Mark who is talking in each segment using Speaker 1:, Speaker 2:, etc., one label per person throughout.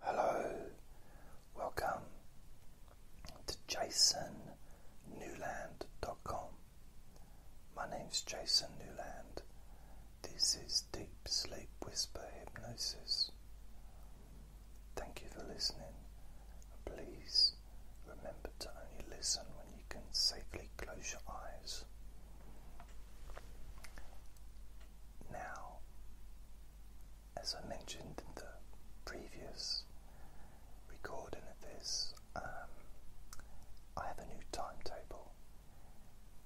Speaker 1: Hello, welcome to jasonnewland.com. My name is Jason Newland. This is Deep Sleep Whisper Hypnosis. Thank you for listening. please remember to only listen when you can safely close your eyes now, as I mentioned in the previous recording of this, um, I have a new timetable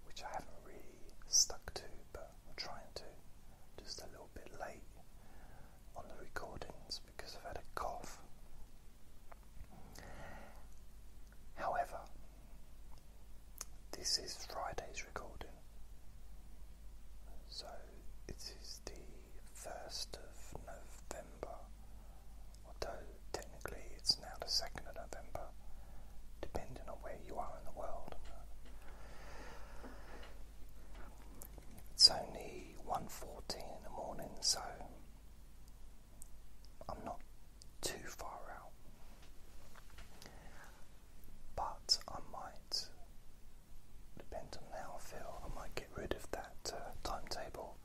Speaker 1: which I haven't really stuck to, but I'm trying to. Just a little bit late on the recordings because I've had a cough. However, this is Friday's recording, so it is the 1st of November, although technically it's now the 2nd of November, depending on where you are in the world. It's only 1.40 in the morning, so I'm not too far out but I might, depending on how I feel, I might get rid of that uh, timetable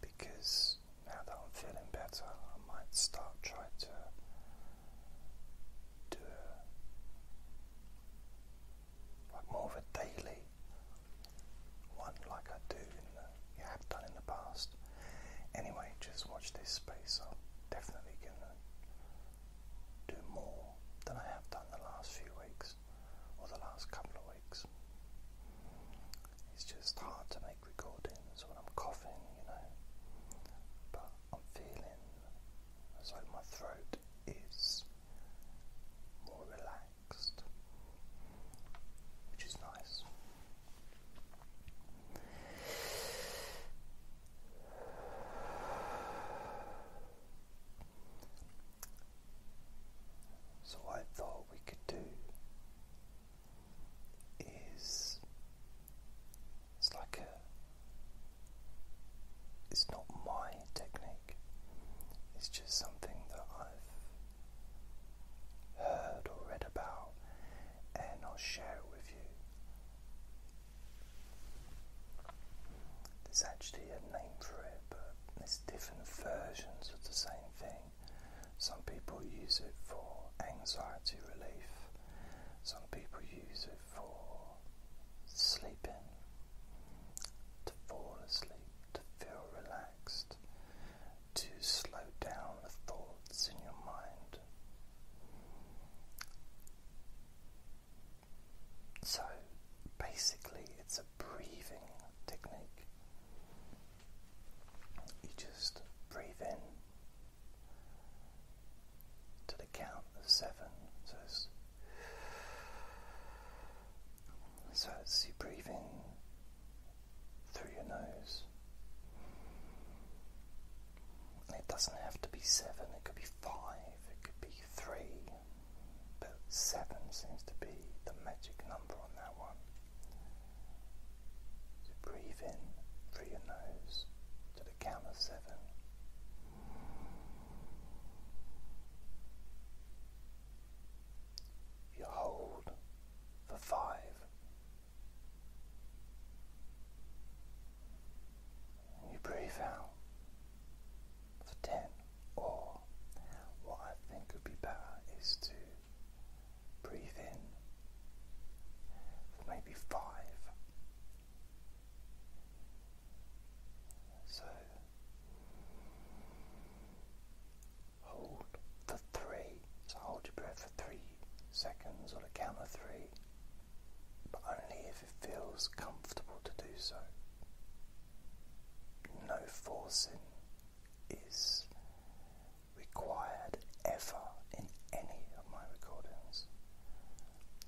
Speaker 1: because now that I'm feeling better, I might start trying to do like more of a daily one, like I do have done in the past. Anyway, just watch this space. I'm definitely going to do more than I have done the last few weeks or the last couple of weeks. It's just hard to make recordings when I'm coughing, you know. But I'm feeling as though my throat is more relaxed, which is nice. So, I thought we could do is it's like a it's not my technique, it's just something that I've heard or read about, and I'll share it with there's actually a name for it, but there's different versions of the same thing. Some people use it for anxiety relief, some people use it for sleeping, to fall asleep, to feel relaxed, to slow down the thoughts in your mind. So basically, it's a breathing technique. You just breathe in to the count of seven. So it's, so it's you breathe in through your nose. It doesn't have to be seven, it could be five, it could be three, but seven seems to be the magic number on that one. So breathe in through your nose to the count of seven. You hold for five, you breathe out for 10, or what I think would be better is to breathe in for maybe 5. So hold for three. So hold your breath for three seconds on a count of three, but only if it feels comfortable to do so. No forcing is required ever in any of my recordings.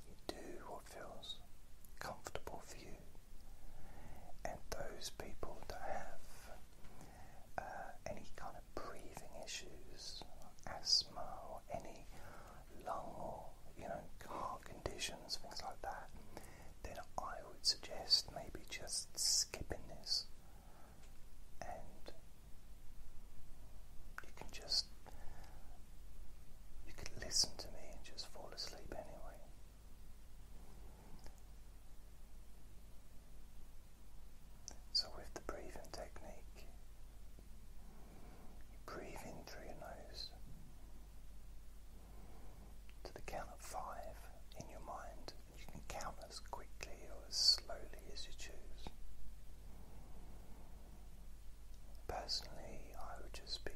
Speaker 1: You do what feels comfortable for you. And those people that have uh, any kind of breathing issues, asthma, any lung or you know heart conditions, things like that, then I would suggest maybe just skipping this, and you can just you could listen to me and just fall asleep anyway. So, with the breathing technique, you breathe in through your nose to the count of five in your mind, you can count as quickly or as slowly as you choose. Personally, I would just be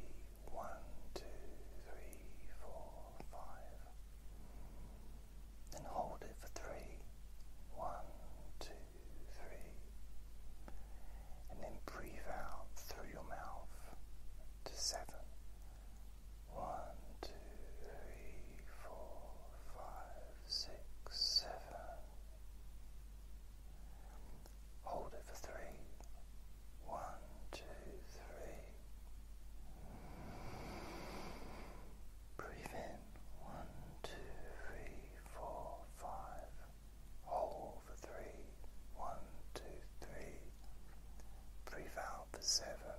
Speaker 1: one, two, three, four, five. And hold it for three. One, two, three. And then breathe out through your mouth to seven. One, two, three, four, five, six, seven. Hold it for three. One, two, three. Breathe in one, two, three, four, five. Hold for three. One, two, three. Breathe out for seven.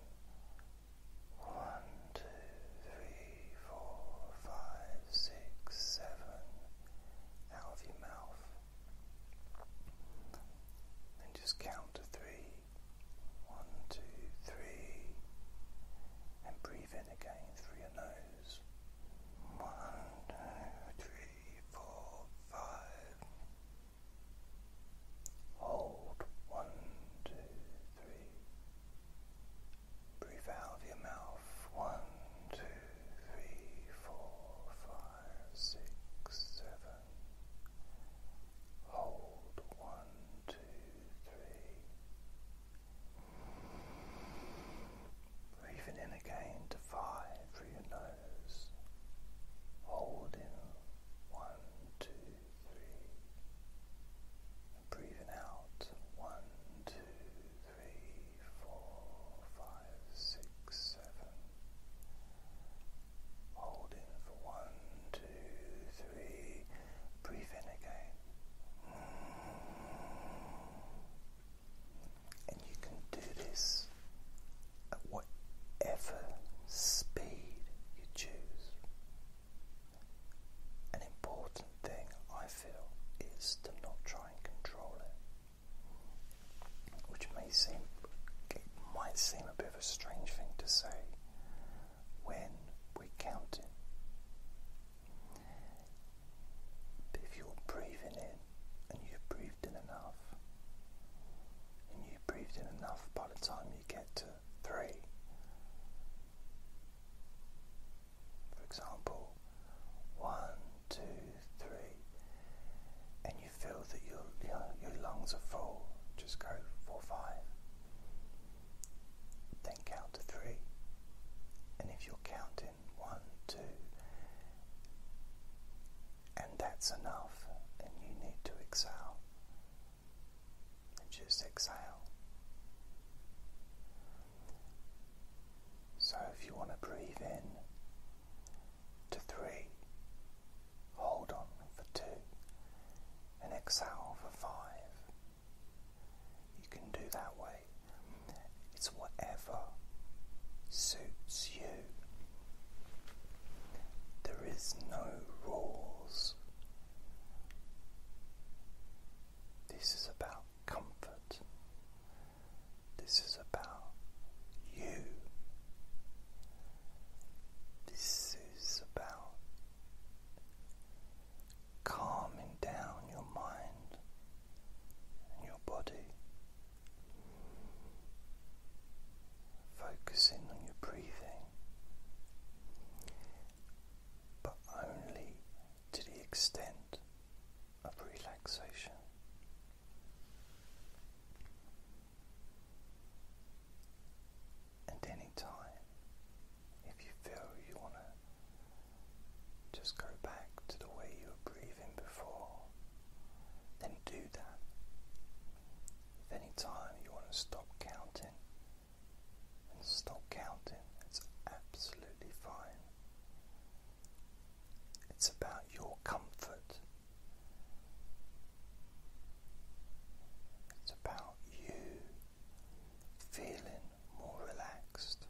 Speaker 1: One, two, three, four, five, six, seven. Out of your mouth. Then just count to three. One, two, three. And breathe in again through your nose. One, two, three, four, five. Hold. One, two, three. Breathe out of your mouth. One, two, three, four, five, six, seven. Hold one, two, three. Breathing in again to five through your nose. Holding one, two, three. breathing out one, two, three, four, five, six, seven. Hold for one, two, three. Breathe in again. And you can do this at whatever speed you choose. An important thing I feel is to not try and control it. Which may seem, it might seem a bit of a strange thing to say when we're counting. But if you're breathing in and you've breathed in enough, and you've breathed in enough by the time you get to three, for example, one, two, three, and you feel that your, your, lungs are full, just go for five. Then count to three. And if you're counting one, two, and that's enough, and you need to exhale, and just exhale. So if you want to breathe in, to three, hold on for two, and exhale for five. You can do that way. It's whatever suits you. There is no rules. This is about comfort. This is about you. This is about calming down your mind and your body, focusing on your breathing, but only to the extent of relaxation. And any time, if you feel you want to just go back to the way you were breathing before, then do that. If any time you want to stop counting, and stop counting, that's absolutely fine. It's about your comfort it's about you feeling more relaxed.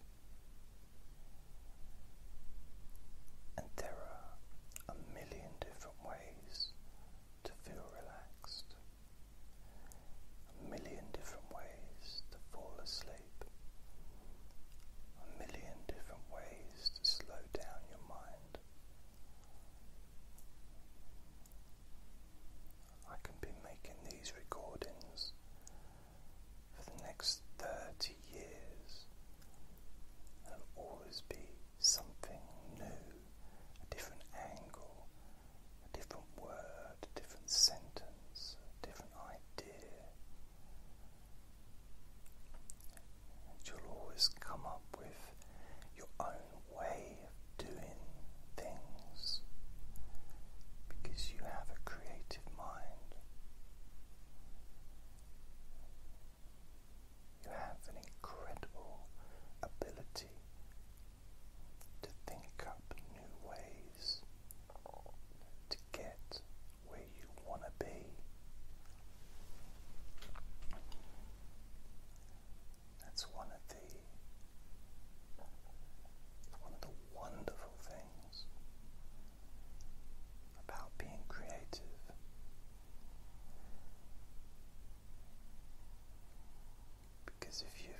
Speaker 1: And there are a million different ways to feel relaxed, a million different ways to fall asleep, a million different ways to slow down your mind. I can be making these recordings for the next 30 years. There'll always be something new, a different angle, a different word, a different sentence, a different idea you'll always come up with your own way of doing things because you have a creative mind. You have an incredible ability to think up new ways to get where you want to be. That's one of the wonderful things about being creative. Because if you've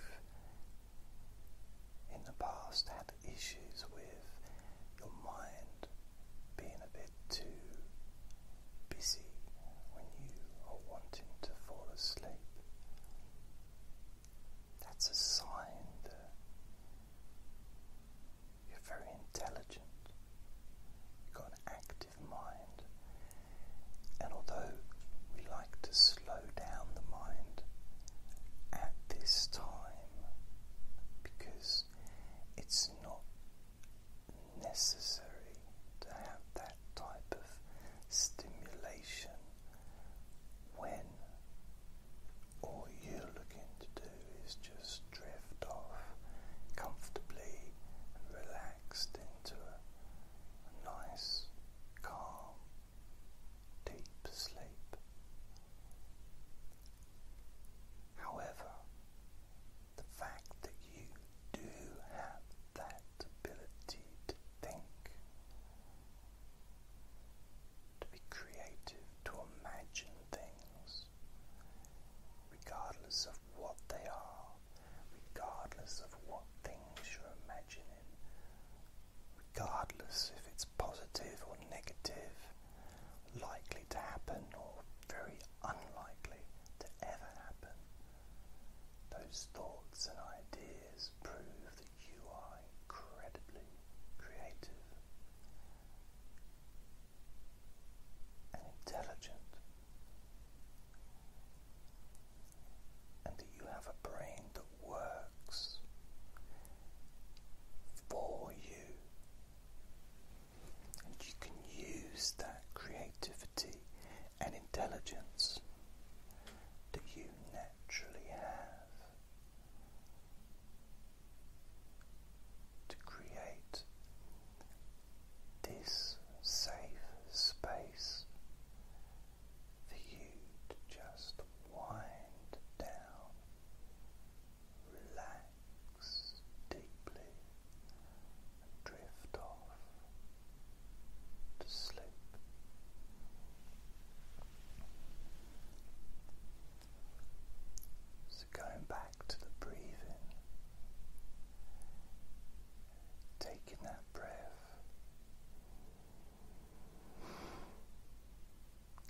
Speaker 1: in the past had issues with your mind being a bit too busy when you are wanting to fall asleep. That's a sign that you're very intelligent, you've got an active mind, and although we like to slow down the mind at this time because it's not necessary to have that type of stimulation when all you're looking to do is just drift off comfortably and relaxed into a nice, calm, deep sleep. However, the fact that you do have that ability to think, to be creative, to imagine things, regardless of what they are, regardless of what things you're imagining, regardless if it's positive or negative likely to happen or very unlikely to ever happen. Those thoughts and ideas prove that you are incredibly creative and intelligent, and that you have a brain that works for you and you can use that creativity and intelligence that you naturally have to create this safe space for you to just wind down relax deeply and drift off to sleep. So, going back to the breathing, taking that breath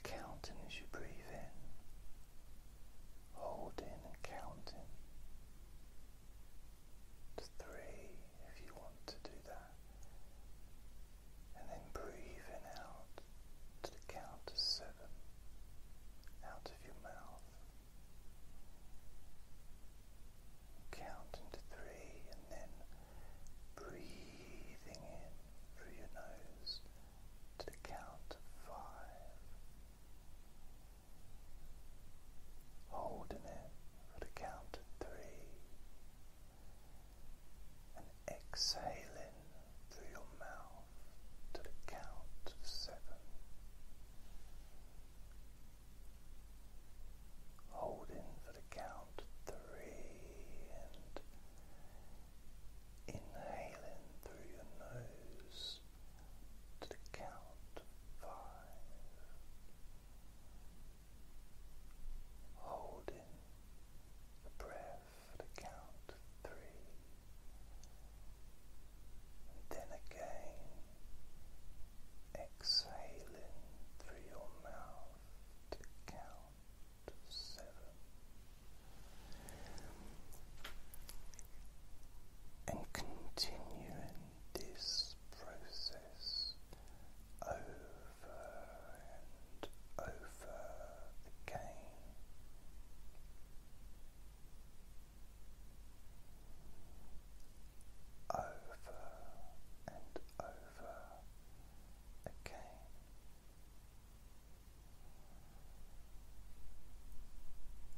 Speaker 1: counting as you breathe in, holding and counting to three if you want to do that, and then breathing out to the count of seven out of your mouth. Counting to three and then breathing in through your nose to the count of five, holding it for the count of three, and exhaling through your mouth to the count of seven. Holding for the count of three and Inhaling through your nose to the count five, holding the breath for the count three, and then again exhaling through your mouth to the count. And continuing this process over and over again. Over and over again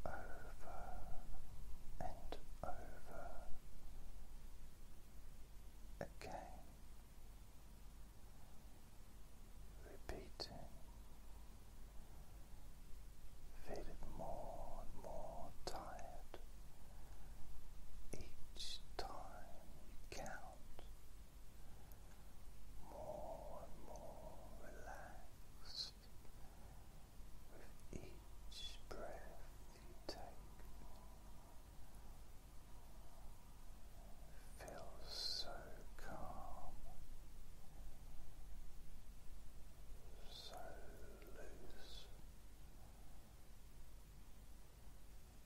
Speaker 1: over and over again, repeating, feeling more and more tired each time count more and more relaxed with each breath you take. Feels so calm, so loose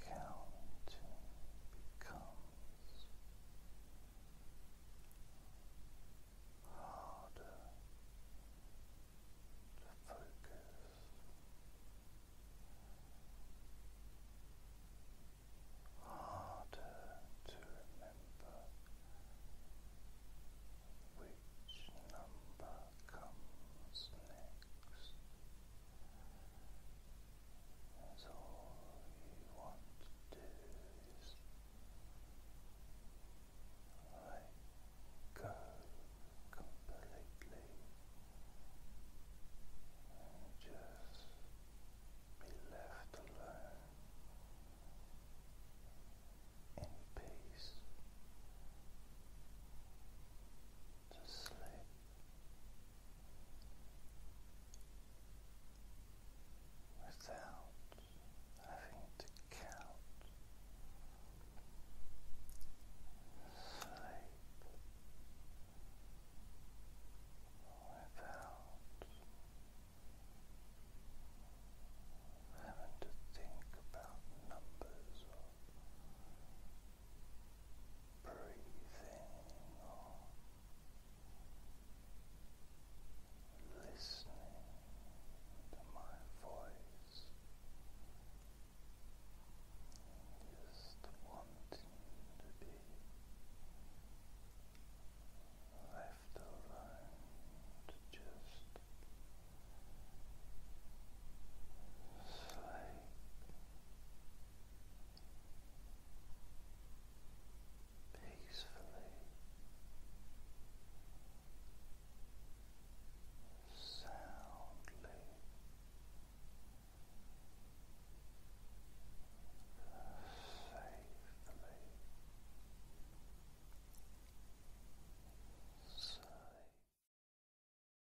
Speaker 1: counting becomes harder to focus. Harder to remember which number comes next, that's all you want to do is let go completely and just be left alone in peace to sleep. Without having to count, sleep without having to think about numbers breathing or listening to my voice, just wanting to be left alone to just sleep peacefully, soundly. Safely. Safe.